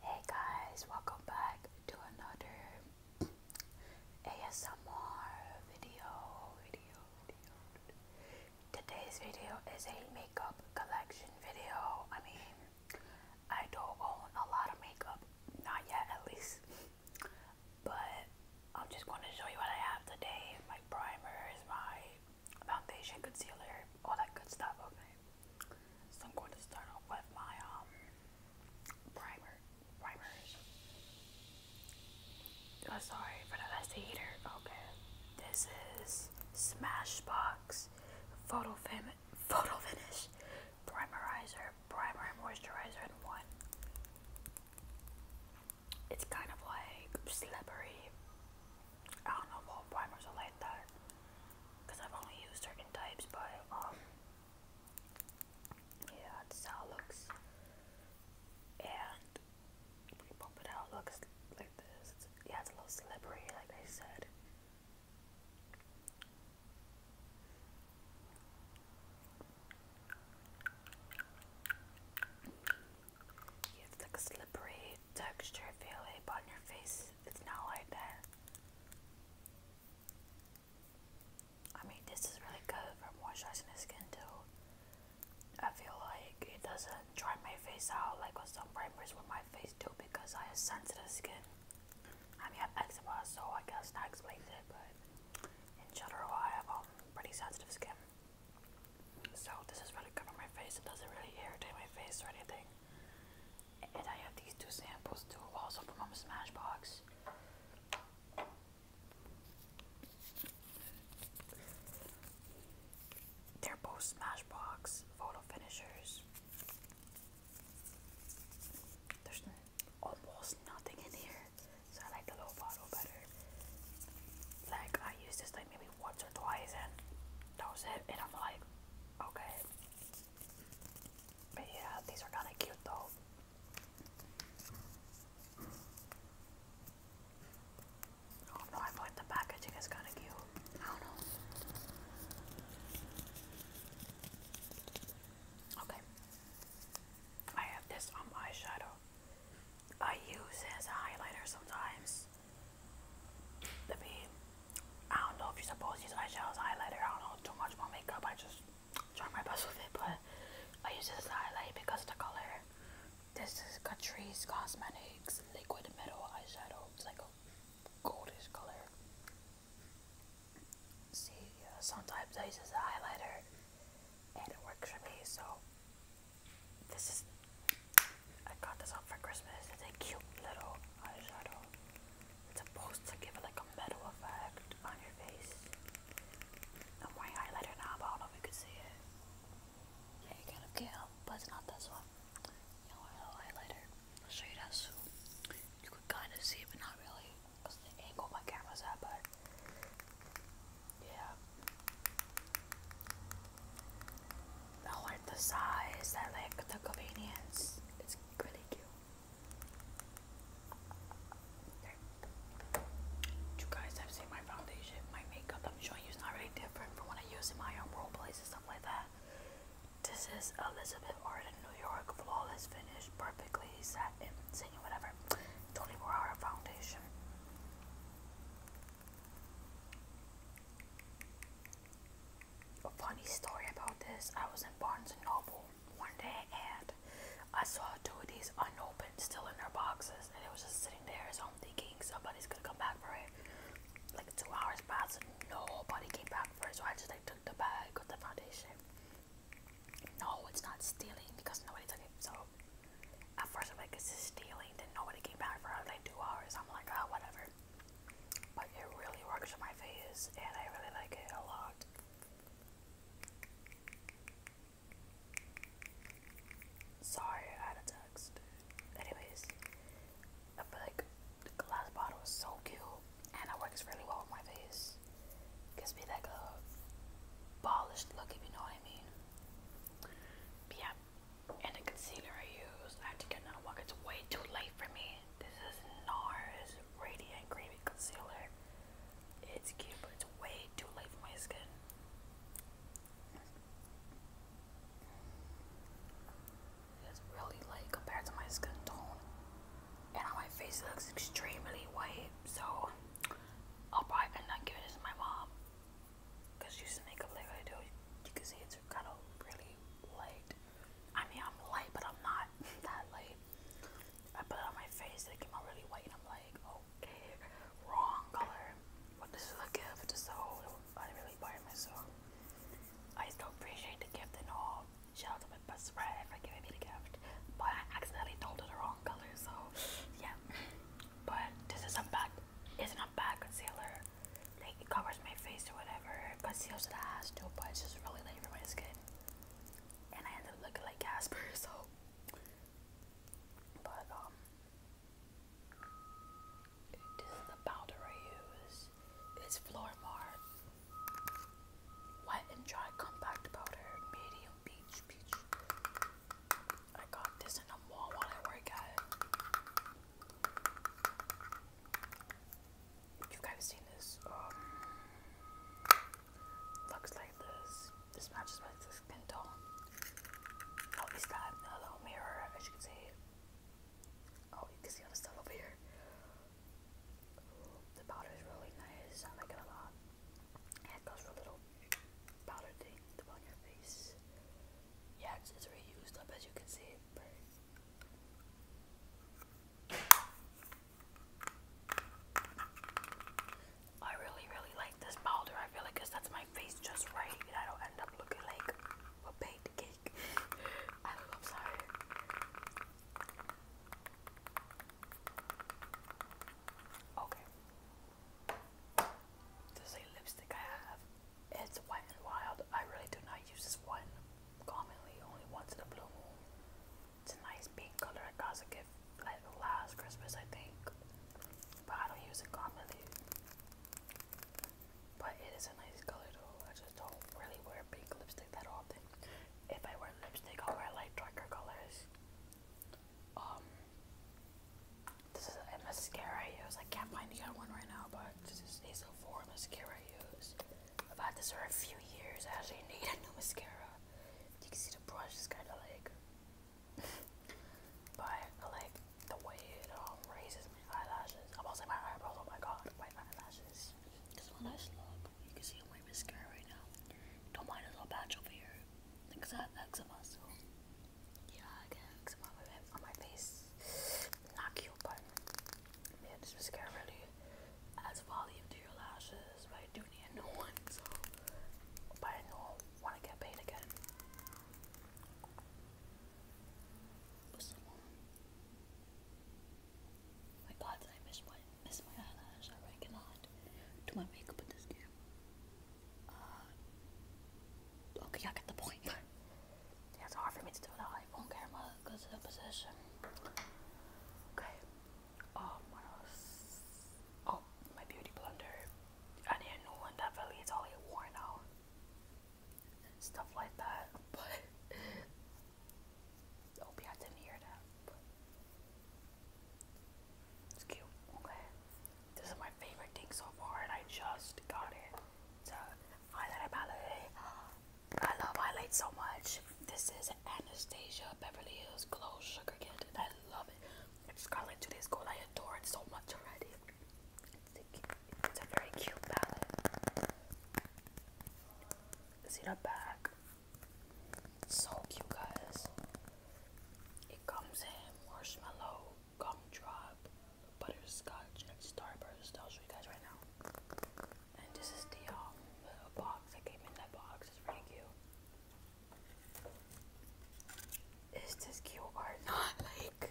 Hey guys, welcome back to another ASMR video, Today's video is a makeup collection video. I mean, I don't own a lot of makeup, not yet at least, but I'm just going to show you what I have today. My primer is my foundation, concealer, all that good stuff, okay? So I'm going to start off with my um primer primers. Oh, sorry for the heater. Okay. This is Smashbox Photo Fin Photo Finish Primerizer Primer and Moisturizer in one it's kind of like slippery. I don't know all primers are like that because I've only used certain types, but um, yeah, that's how it looks. And we pump it looks like this. yeah, it's a little slippery, like I said. You like slippery texture feeling on your face. It's not like that. I mean, this is really good for moisturizing the skin too. I feel like it doesn't dry my face out like some primers with my face too because I have sensitive skin. I mean, I have eczema, so I guess that explains it, but in general, I have um, pretty sensitive skin. So this is really good on my face. It doesn't really irritate my face or anything. And I have these two samples too, also from Smashbox. They're both Smashbox photo finishers. There's almost nothing in here so I like the little bottle better. Like I use this like maybe once or twice and that was it and I'm like okay. But yeah, these are kinda cute though. Oh no, I feel the packaging is kinda cute. I don't know. Okay. I have this on my eyeshadow. I use as a highlighter sometimes. I mean, I don't know if you're supposed to use eyeshadow highlighter. I don't know too much more makeup. I just draw my best with it, but I use it as a highlight because the color. This is Catrice Cosmetics Liquid Metal Eyeshadow. It's like a goldish color. See, uh, sometimes I use it as a highlighter and it works for me. So this is I got this up for Christmas. It's a cute little eyeshadow. It's supposed to give it like a metal effect on your face. I'm highlighter now, but I do you can see it. Yeah, you kind of can, but it's not this one. You know, highlighter. I'll show you that soon. You could kind of see it, but not really, because the angle my camera's at, but yeah. I like the size, I like the convenience. It's really cute. You guys have seen my foundation, my makeup. I'm showing you it's not really different from what I use in my own roleplays and stuff like that. This is Elizabeth Arden New York Flawless Finish Perfectly set whatever. 24 Hour Foundation. funny story about this I was in Barnes and Noble one day and I saw two of these unopened still in their boxes and it was just sitting there so I'm thinking somebody's gonna come back for it. Like two hours passed and nobody came back for it so I just like took the bag got the foundation no, it's not stealing because nobody took it. So at first I'm like, is stealing? Then nobody came back for like two hours. I'm like, ah, whatever. But it really works for my face and I really like it a lot. Sorry, I had text. Anyways, I feel like the glass bottle is so cute and it works really well with my face. Gives me like polished look, if you know what I mean. yeah, and the concealer I use, I have to get another one. It's way too late for me. This is NARS Radiant Creamy Concealer. It's cute, but it's way too late for my skin. It's really light compared to my skin tone. And my face, looks extremely white, so I'll probably not give it this to my mom. Cause she's makeup like I do. You can see it's kind of really light. I mean, I'm light, but I'm not that light. I put it on my face, it came out really white, and I'm like, okay, wrong color. What does this is a gift, so I really buy myself. I still appreciate the gift and all. Shout out my best friend for giving me the gift, but I accidentally told her the wrong color, so yeah. But this is a bad, it's not bad concealer. Like it covers my face or whatever, conceals it has to, but it's just really late for my skin. And I end up looking like Casper, so. But um, this is the powder I use. It's Flormar Wet and dry compact powder, medium peach, I got this in a mall while I work at You guys seen this? Um, looks like this. This matches my skin tone. Oh, it's that a little mirror, as you can see. Oh, you can see all the stuff over here. The powder is really nice. I like it a lot. it goes for a little powder thing on your face. Yeah, it's, it's reused up as you can see, I really, really like this powder. I feel like that's my face just right, I don't end up looking like a baked cake. I don't Okay. This is lipstick I have. It's Wet and Wild. I really do not use this one commonly, only once in a blue moon. It's a nice pink color. I got as a gift like last Christmas, I think. But I don't use it commonly. But it is a nice color though. I just don't really wear pink lipstick that often if I wear lipstick, I'll wear like darker colors. Um, this is a mascara I use. I can't find the other one right now, but this is a Sephora mascara I use. I've had this for a few years. I actually need a new mascara. You can see the brush is kind of like, but like the way it um, raises my eyelashes. I'm also my eyebrows. Oh my god, my eyelashes eyes. Because my eyes You can see I'm mascara right now. Don't mind a little patch over here. Because I have eczema, so. Yeah, I get eczema on my face. Not cute, but. Man, this mascara really adds volume to your lashes. But I do need a new one, so. But I know want to get paid again. my god, I miss one? Miss my eyelash. I cannot do my makeup with this game. Uh, okay, I get the point. it's hard for me to do that iPhone camera because of the position. Okay. Um, what else? Oh, my beauty blender. I need a new one. That really all worn out. Stuff like that. But Hope you didn't hear that. it's cute. Okay. This is my favorite thing so far, and I just got it. It's a highlighter palette. I love highlights so much. This is Anastasia Beverly Hills Glow Sugar Kit, I love it. I just got it two days I adore it so much already. It's a, it's a very cute palette. See the back? so cute, guys. It comes in marshmallow, gumdrop, butterscotch, and starburst. I'll show you guys right now. And this is the um, box that came in that box. It's pretty cute. Is this cute or not? Like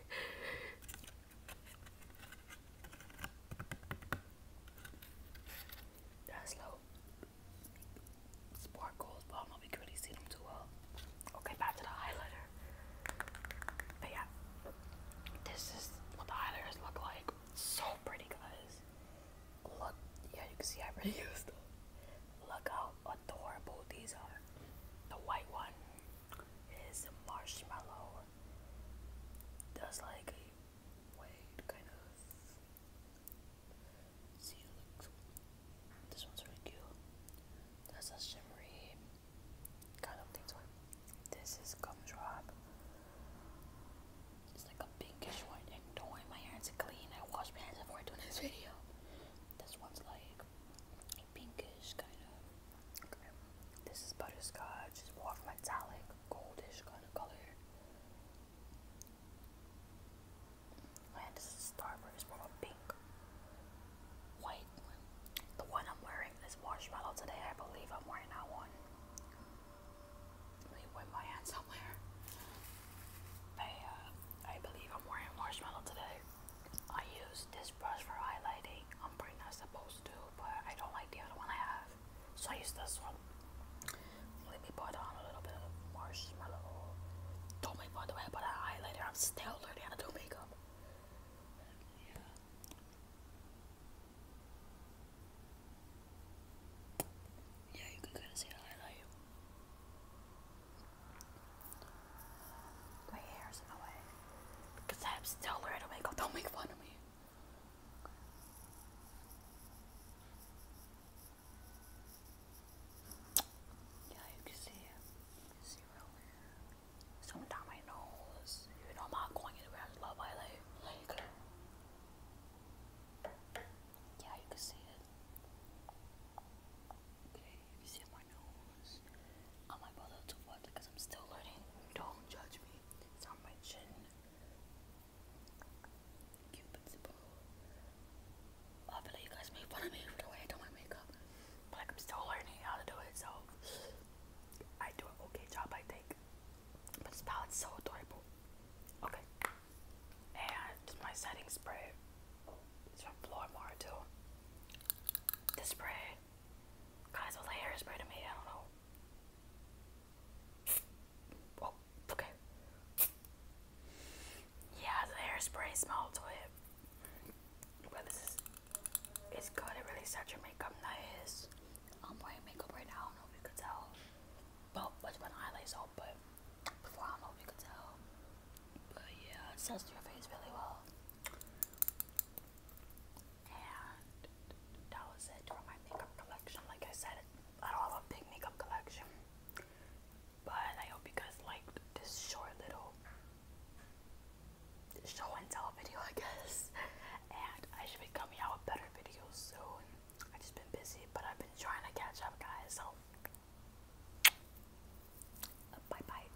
that's low. Sparkles, but I don't really see them too well. Okay, back to the highlighter. But yeah, this is what the highlighters look like. So pretty, guys. Look, yeah, you can see I really them. Look how adorable these are. The white one is marshmallow. Does like white kind of see it looks this one's really cute. That's a shimmery kind of thing to it. This is gumdrop. It's like a pinkish white and don't worry my hands are clean. I wash my hands before doing this video. This one's like pinkish kind of okay. This is butterscotch, it's more metallic goldish kind of color. And this is Starburst, more a pink, white The one I'm wearing is marshmallow today. I believe I'm wearing that one. Let me wipe my hand somewhere. I, uh, I believe I'm wearing marshmallow today. I use this brush for highlighting. I'm pretty not supposed those but I don't like the other one I have, so I use this one. Let me put on a little bit of marshmallow. Don't make fun of me, but an highlighter. I'm still learning how to do makeup. Yeah. you can kind of see the highlight. My hair's in the way. Because I'm still learning to Don't make fun of me. Yeah, you can see it. see real weird. Something down my nose. Even though I'm not going anywhere, I love yeah, you can see it. Okay, you see my nose on my brother to watch because I'm still learning. Don't judge me. It's on my chin. Cupid's bow. I feel like you guys make fun of me for the way I do my makeup. But I'm still learning how to do it, so I do an okay job I think. But this palette's so adorable. Okay. And my setting spray. It's from Flormar too. This spray Guys, all the hair to me, I don't know. Oh, okay. Yeah, the hairspray smell to it. But this is it's good, it really sets your makeup nice. I'm wearing makeup right now, I don't know if you could tell. Well, much my highlights out, but before I don't know if you could tell. But yeah, it sets your face really well. And that was it for my makeup collection. Like I said, I don't have a big makeup collection. But I hope you guys liked this short little show and tell video, I guess. And I should be coming out with better videos soon. I've just been busy, but I've been trying to catch up, guys. So, bye bye.